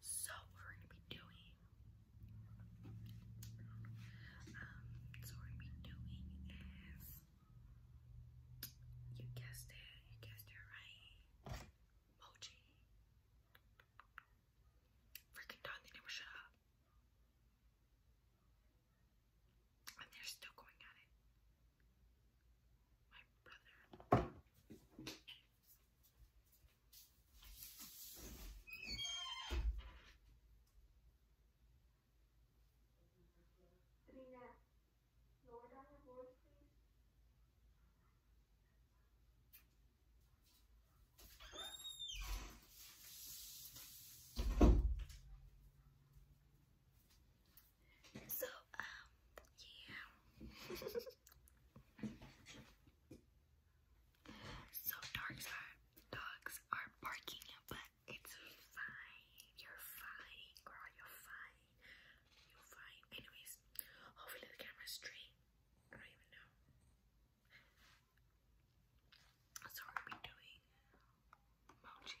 So we're gonna be doing um, so we're gonna be doing is you guessed it, you guessed it right. Mochi. Freaking done, they never shut up. And they're still going at it. My lower down your voice, please. So, um, yeah. so dogs are dogs are barking, but it's fine. You're fine, girl. You're fine. You're fine. Anyways, hopefully the camera's straight. I don't even know. So are we doing mochi?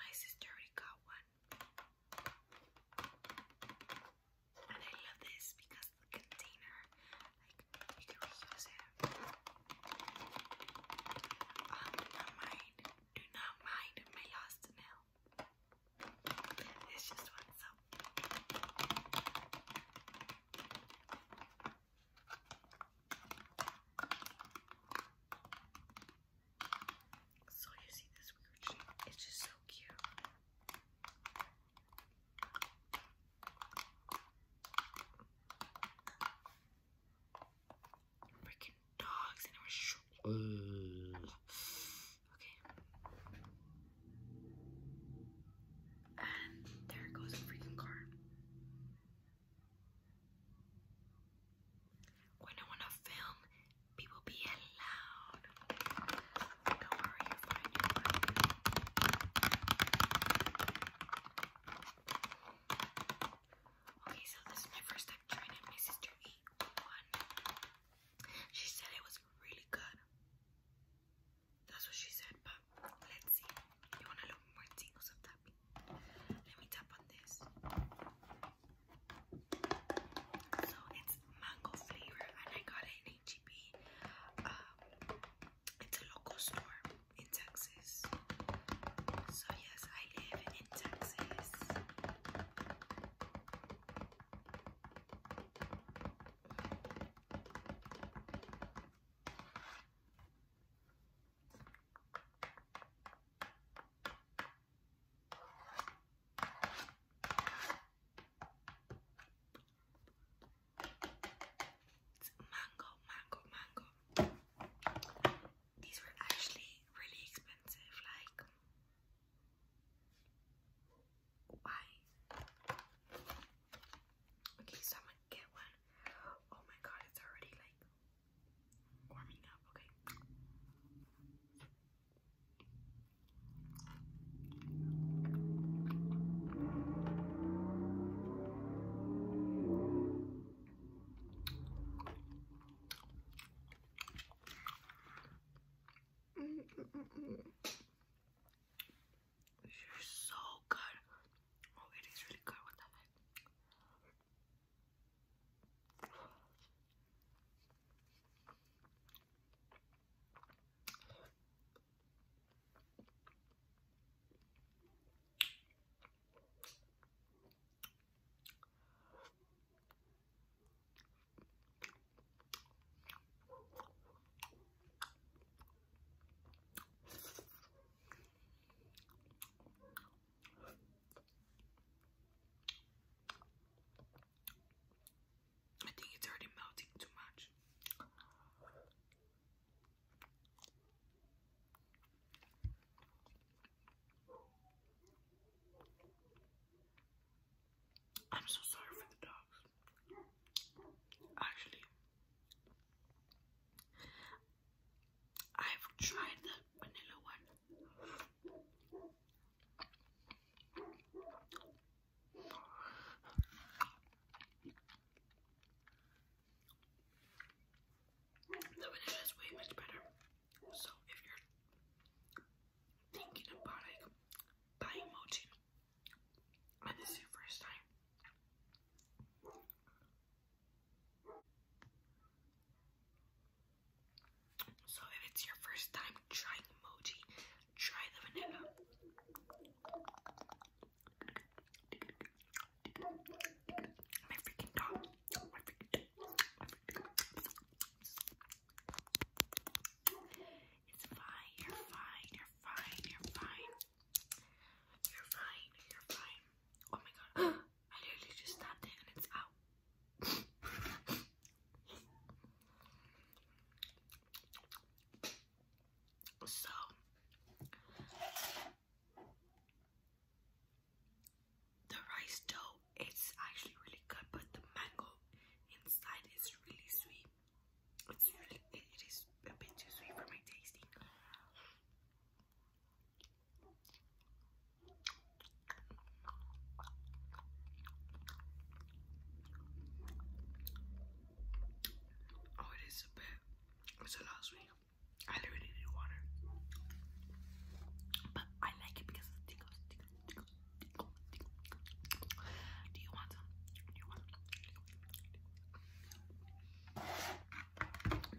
My sister already got one. And I love this because the container, like, you can reuse do um, not mind, do not mind my last nail. It's just so. you see this weird shape? It's just so cute. Freaking dogs and it was Okay. And there goes a freaking car. When I wanna film, people be loud. Don't worry, Okay, so this is my first time trying it. My sister ate one. She said it was really good. That's what she said, but let's see. You want a little more tingles of tapping? Let me tap on this. So it's mango flavor, and I got it in HEB. Um, it's a local store in Texas. So yes, I live in Texas. It's mango, mango, mango. These were actually really expensive, like why? Okay, so I'm gonna get one. Oh my god, it's already like warming up, okay. Mm You're so good. Oh, it is really good. What the heck? I think it's already melting too much. I'm so sorry for the dogs. Actually, I've tried the vanilla one. The vanilla is way much better. So if you're thinking about like buying mochi, and this is your first time. So if it's your first time trying mochi, try the vanilla. My freaking dog. It's fine, you're fine, you're fine, you're fine. You're fine, you're fine. Oh my god, I literally just stabbed it and it's out. so the rice dough it's actually really good, but the mango inside is really sweet. It's really, it is a bit too sweet for my taste. Oh, it is a bit, it's a lot sweet. I literally need water. But I like it because of the tingles, do you want Do you want Do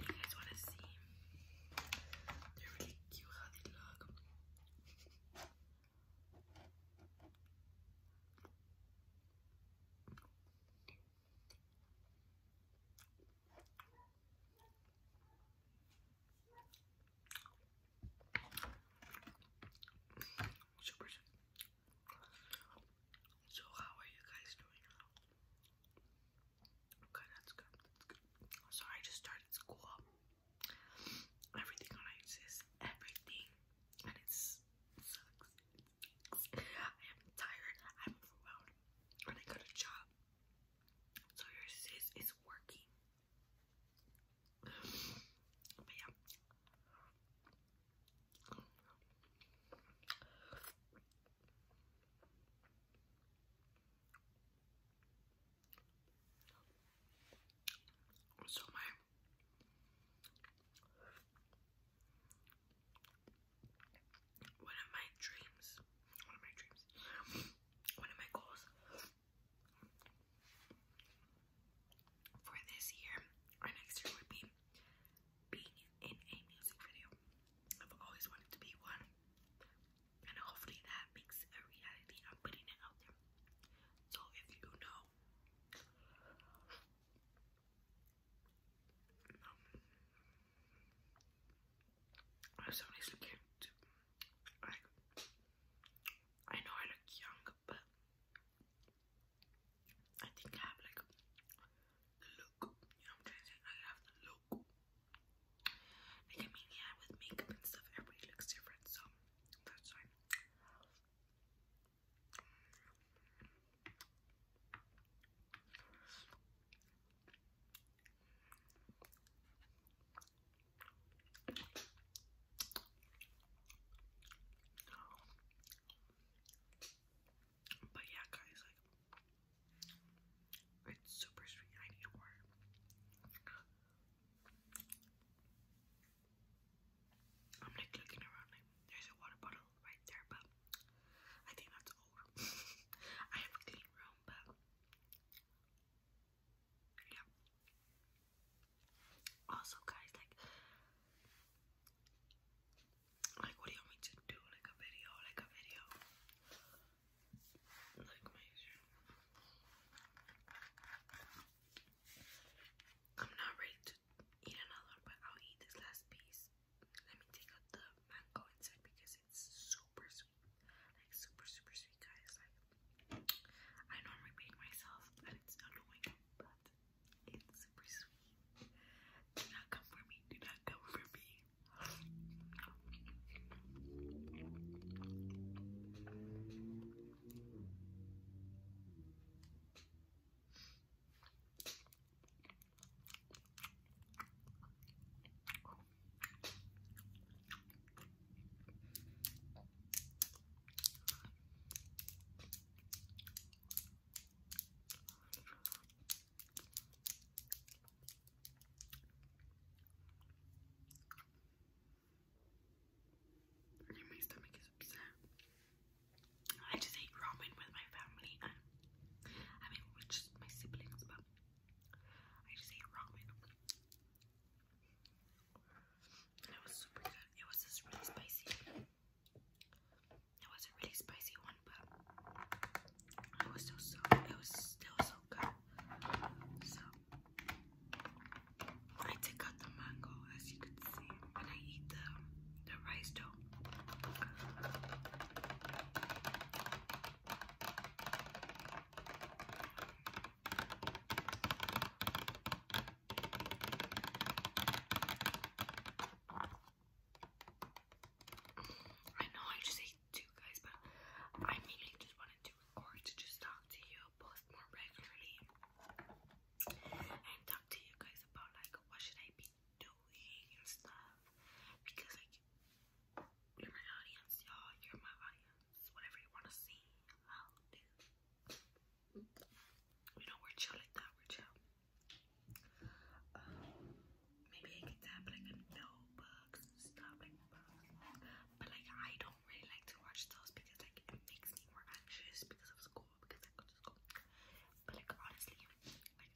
you guys want to see? They're really cute how they look. Super So how are you guys doing? Okay, that's good. That's good. So I just started school. Everything on exists. Everything. And it's sucks. I am tired. I'm overwhelmed. And I got a job. So your sis is working. But yeah. So my one of my dreams, one of my dreams, one of my goals for this year or next year would be being in a music video. I've always wanted to be one, and hopefully that makes a reality. I'm putting it out there. So if you know, um, I was honestly scared I know I look young, but I think I have like the look. You know what I'm trying to say? I have the look. Like I mean, yeah, with makeup and stuff, everybody looks different, so that's fine. But yeah, guys, like it's super sweet. I need more. I'm like looking around. there's a water bottle right there, but I think that's old. I have a clean room, but yeah. Also, guys, like, like, what do you want me to do? Like a video, like a video, like my. I'm not ready to eat another, but I'll eat this last piece. Let me take out the mango inside because it's super, super like super super sweet guys. Like I know I'm repeating myself and it's annoying, but it's super sweet. Do not come for me, do not come for me. My stomach is upset. I just ate ramen with my family I mean, with my siblings, but I just ate ramen. It was super good. It was just really spicy. It was a really spicy one, but it was still so it so good. I take out the mango as you can see, and I eat the the rice dough. I know I just ate two guys, but I mainly just wanted to record to just talk to you, post more regularly, and talk to you guys about like what should I be doing and stuff because like you're my audience, y'all. You're my audience. Whatever you want to see, I'll do. You know, we're chill like that. we chill. Um, maybe I could tap like a notebooks and like But like, I don't really like to watch those because like it makes me more anxious because of school. Because I go to school. But like, honestly, I don't mind.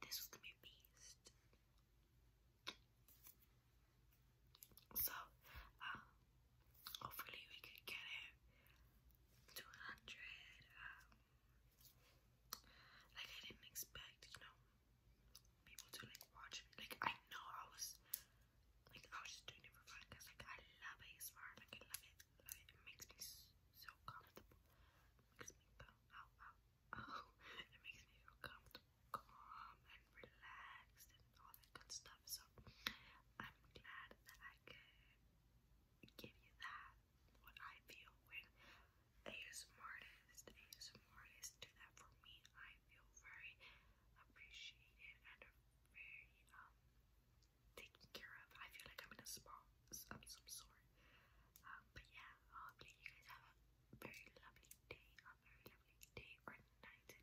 this was gonna be a beast. So, um, hopefully we can get it to 100. Um, like I didn't expect, you know, people to like watch Like I know I was, like I was just doing it for fun because like I love ASMR. Like I love it, love It makes me so comfortable makes me feel oh, oh, oh. It makes me feel comfortable, calm, and relaxed, and all that good stuff. So I'm glad that I could give you that. What I feel when ASMR artists, ASMR artists do that for me, I feel very appreciated and very um taken care of. I feel like I'm in a spa of some sort. Um, but yeah, hopefully you guys have a very lovely day, a very lovely day or night and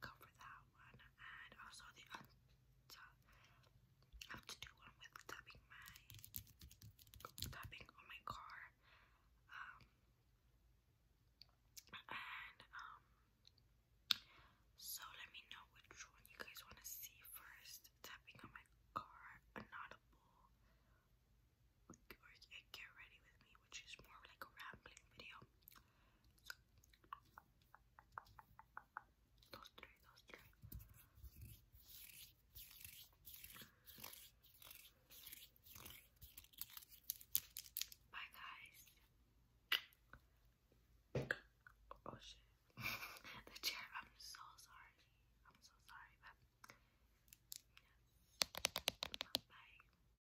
go for that one. And also the I have to do one with tapping my tapping on my car. Um and um so let me know which one you guys want to see first. Tapping on my car, an get ready with me which is more like a rambling video. those three, those three. Bye, guys. Oh shit. the chair, I'm so sorry. I'm so sorry, but yes. Bye.